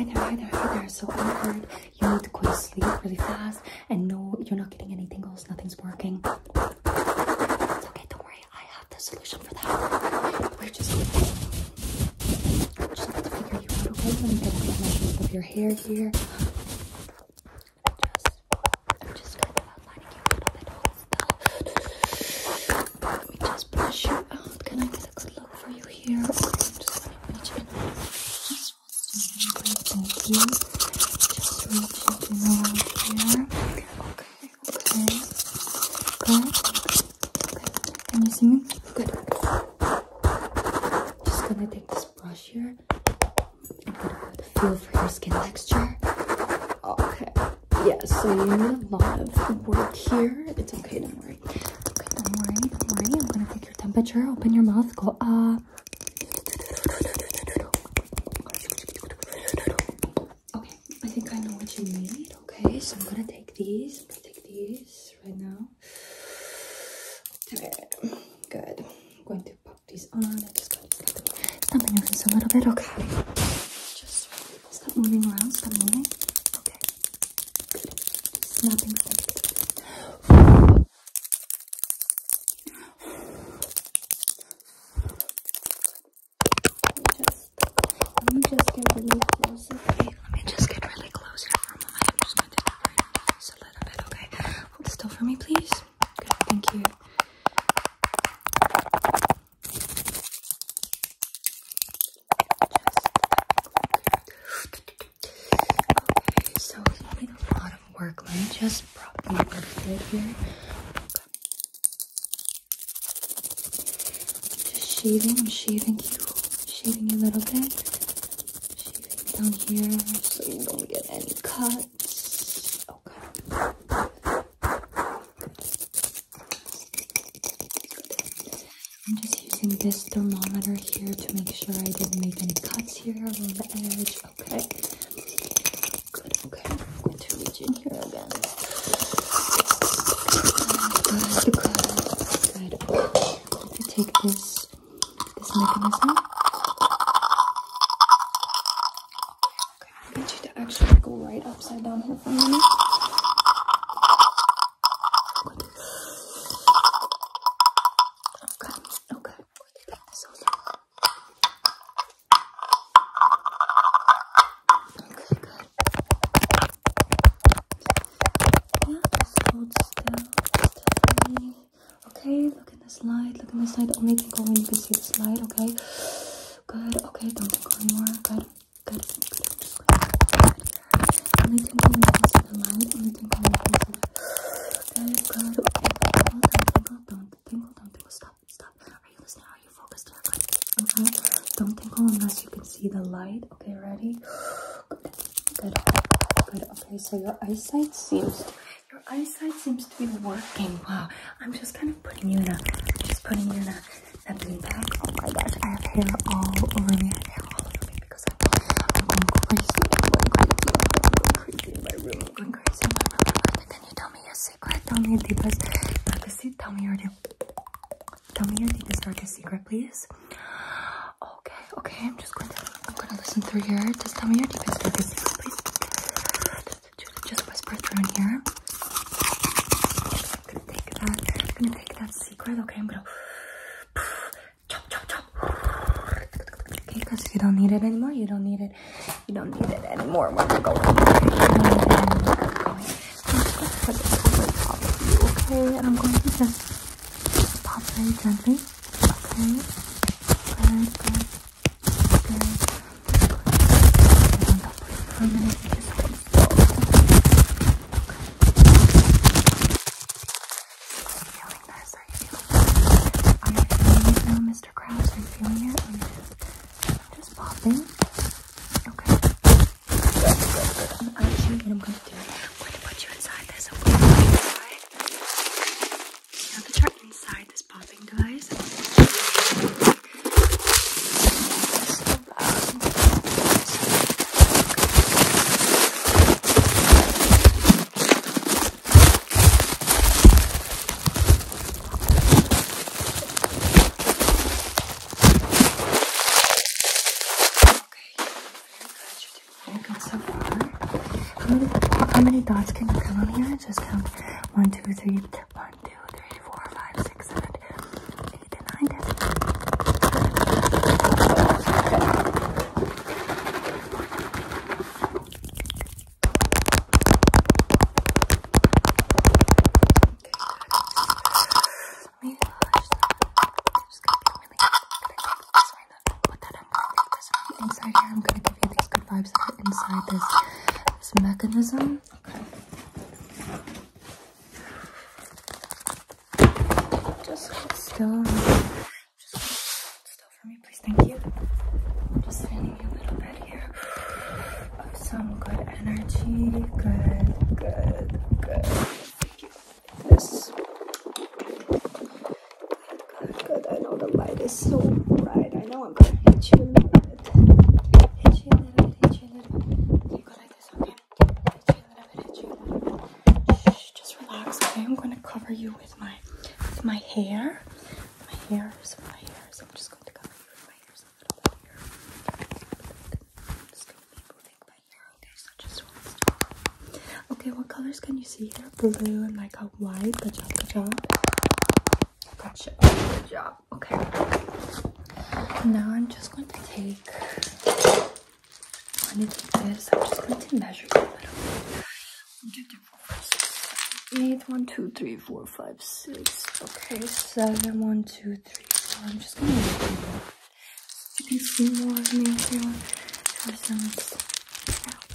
I know, I know, I know. So awkward. You need to go to sleep really fast. And no, you're not getting any tingles. Nothing's working. It's okay, don't worry. I have the solution for that. We're just, going to figure you out, okay? Let me get a measurement of your hair here. I'm just kind of outlining you a little bit. Hold still. Let me just brush you out. Can I get a good look for you here? Okay, I'm just going to reach in. Just thank you. Just reach in around here. Okay, okay. Good. Okay. Can you see me? Good. Just gonna take this brush here and get a good feel for your skin texture. Okay. Yeah, so you need a lot of work here. It's okay, don't worry. Okay, don't worry, don't worry. I'm gonna take your temperature, open your mouth, go up. Okay, I think I know what you need. Okay, so I'm gonna take these. I'm gonna take these right now. Okay, good. I'm going to pop these on. I just got stamp on your face a little bit. Okay. Just stop moving around. Stop moving. Okay. Good. Let me just get really close. let me just get really close for a moment. just a little bit, okay? Hold still for me, please. Okay. thank you. Okay, so it's not like a lot of work. Let me just prop you up here. Just shaving, i shaving you, shaving a little bit down here so you don't get any cuts. Okay. I'm just using this thermometer here to make sure I didn't make any cuts here along the edge. Okay. Good. Okay. Good. Good. take this this mechanism. Okay, I want you to actually go right upside down here for a minute. Okay, okay. Take this over. Okay, good. Yeah, just hold still, still for me. Okay, look in this light, look in this light. Only tinkle when you can see this light, okay? Good, okay, don't tinkle anymore. Good, good, good, good, good. good. Only tinkle when you can see the light, only tinkle when you can see the light. Good, good, okay. Don't tinkle, don't tinkle, don't tinkle. Stop, stop. Are you listening? Are you focused here? Good, okay. Don't tinkle unless you can see the light, okay? Ready? Good, Good. Good. Okay, so your eyesight seems your eyesight seems to be working. Wow. I'm just kind of putting you in a just putting you in a, a bean bag. Oh my gosh, I have hair all over me. hair all over me because I'm, going crazy. I'm going crazy. going crazy in my room. I'm going crazy in my room. Can you tell me your secret? Tell me your deepest darkest secret. Tell me your deep. Tell me your deepest darkest secret, please. Okay, okay, I'm just going to I'm gonna listen through here. Just tell me your deepest, deepest please. Just whisper through here. gonna take that. gonna take that secret. Okay, I'm gonna chop, chop, chop. Okay, because you don't need it anymore. You don't need it. You don't need it anymore. we're going. I'm put this over top of you, okay? I'm going to Pop very gently. Okay. Very good. Good. Very good. on top for a minute. Just hold still. Okay. Feeling this? Mr. Krabs? Are you feeling it? just, just popping. Okay. I'm actually, and i I'm going to put you inside this. I'm going to put you inside. Now that you're inside this popping device, just around Okay, very good so far. How many, how many dots can you count on here? Just count one, two, three, one, two, three, four, five, six, seven, eight, and nine, ten. Okay, good. Let I'm just gonna be really good. I'm to Put that on. Take inside here. I'm gonna give you these good vibes that are inside this this mechanism. Okay. Just hold still. Just hold still for me, please. Thank you. just sending little bit here of some good energy. Good, good, good. Good, I know the light is so bright. I know I'm gonna hit you a little Hit you hit you Hit you hit you just relax, okay? I'm gonna cover you with my with my hair. My hair, some my hair. So I'm just going to cover you with my hair okay? what colors can you see here? Blue and like a white. Good job, good job. Gotcha. Good job. Okay. Now I'm just going to take. I need this, I'm just going to measure a little bit. eight. One, two, three, four, five, six. Okay, seven, one, two three, four. I'm just gonna make them both. So you can see more of me here. For some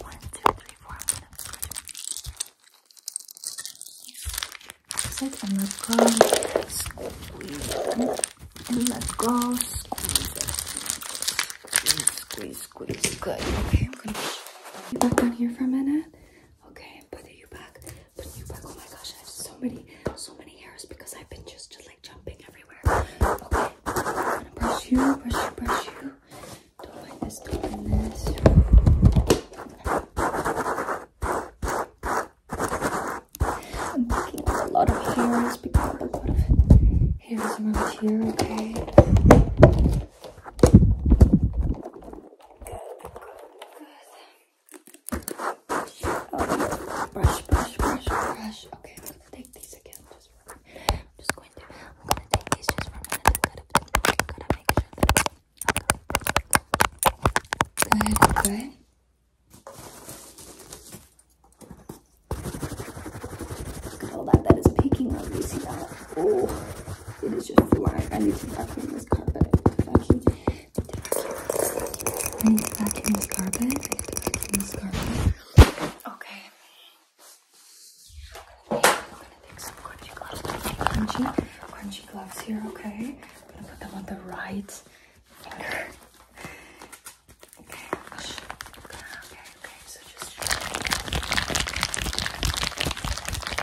one, two, three, four. I'm gonna it's like I'm not going squeeze it. And let go, squeeze it. Squeeze, squeeze, squeeze. Good. Okay, I'm gonna get back down here for a minute. Okay, putting you back, putting you back. Oh my gosh, I have so many, so many hairs because I've been just, just like jumping everywhere. Okay, I'm gonna brush you, brush you, brush you. Don't mind this, don't mind this. I'm picking up a lot of hairs, picking up a lot of hairs around here, okay? Good, good, good. Oh, brush, brush, brush, brush. Okay, I'm gonna take these again. Just I'm just going to. I'm gonna take these just for a minute. I gotta, gotta make sure that. Good, good. Look at all that that is peeking on Oh. It is just like I need to vacuum this carpet. I have to vacuum. I need to vacuum this carpet. I need to vacuum this carpet. Okay. I'm gonna take, I'm gonna take some crunchy gloves. Crunchy, crunchy gloves here, okay? I'm gonna put them on the right finger. Okay, okay, so just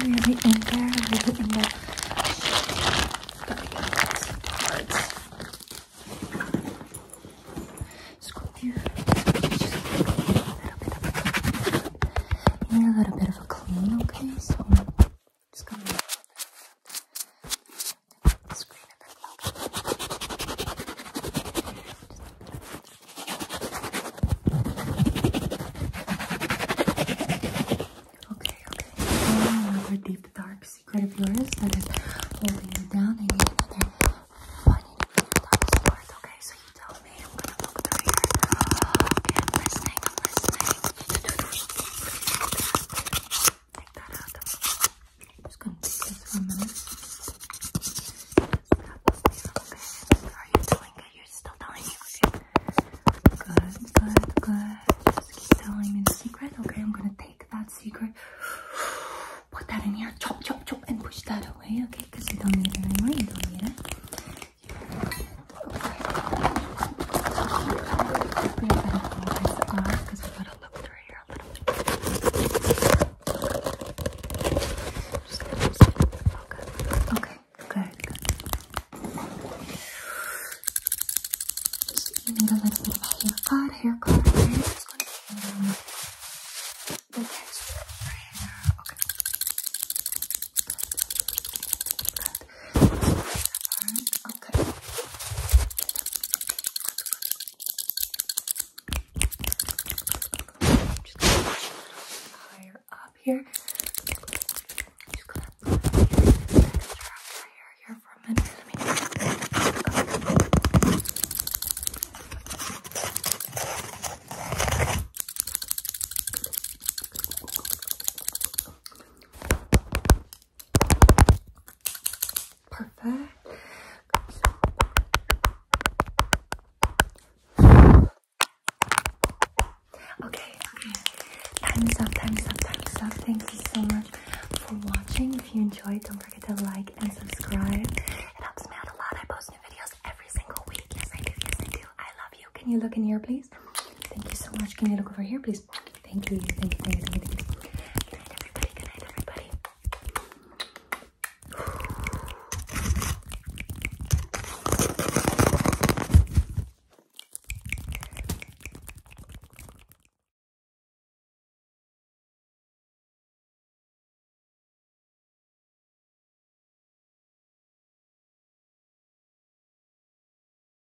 Really in there, to get those darts. Scoop here. Just a little bit of a clean. okay? So just gonna the screen a bit longer. Okay, okay. Another deep dark secret of yours that is holding you down. I need another funny deep dark secret. Okay, so you tell me. I'm gonna look through here. Okay, I'm listening. I'm listening. Take that out just gonna take this for a minute. Okay. Are you telling it? You're still telling me. Okay. Good, good, good. Just keep telling me the secret. Okay, I'm gonna take that secret. Put that in here. Chop, chop, chop, and push that away. Okay, because you don't need it anymore. You don't need it. Okay. We're gonna up because we gotta look through over here a little bit. Just gonna use it. Okay. Okay. Good. Good. Just need a little bit of haircut, haircut. Okay. Just going to the next hair. Okay. Good. Good. Good. Good. Good. Good. Good. Good. Okay. I'm just gonna push higher up here. I'm just gonna push your hair here for a minute. Let me Okay. Perfect. Okay, Time's up, time's up, time's up. Thank you so much for watching. If you enjoyed, don't forget to like and subscribe. It helps me out a lot. I post new videos every single week. Yes, I do. Yes, I do. I love you. Can you look in here, please? Thank you so much. Can you look over here, please? Thank you, thank you, thank you, thank you, thank you. Good night, everybody. Good night, everybody.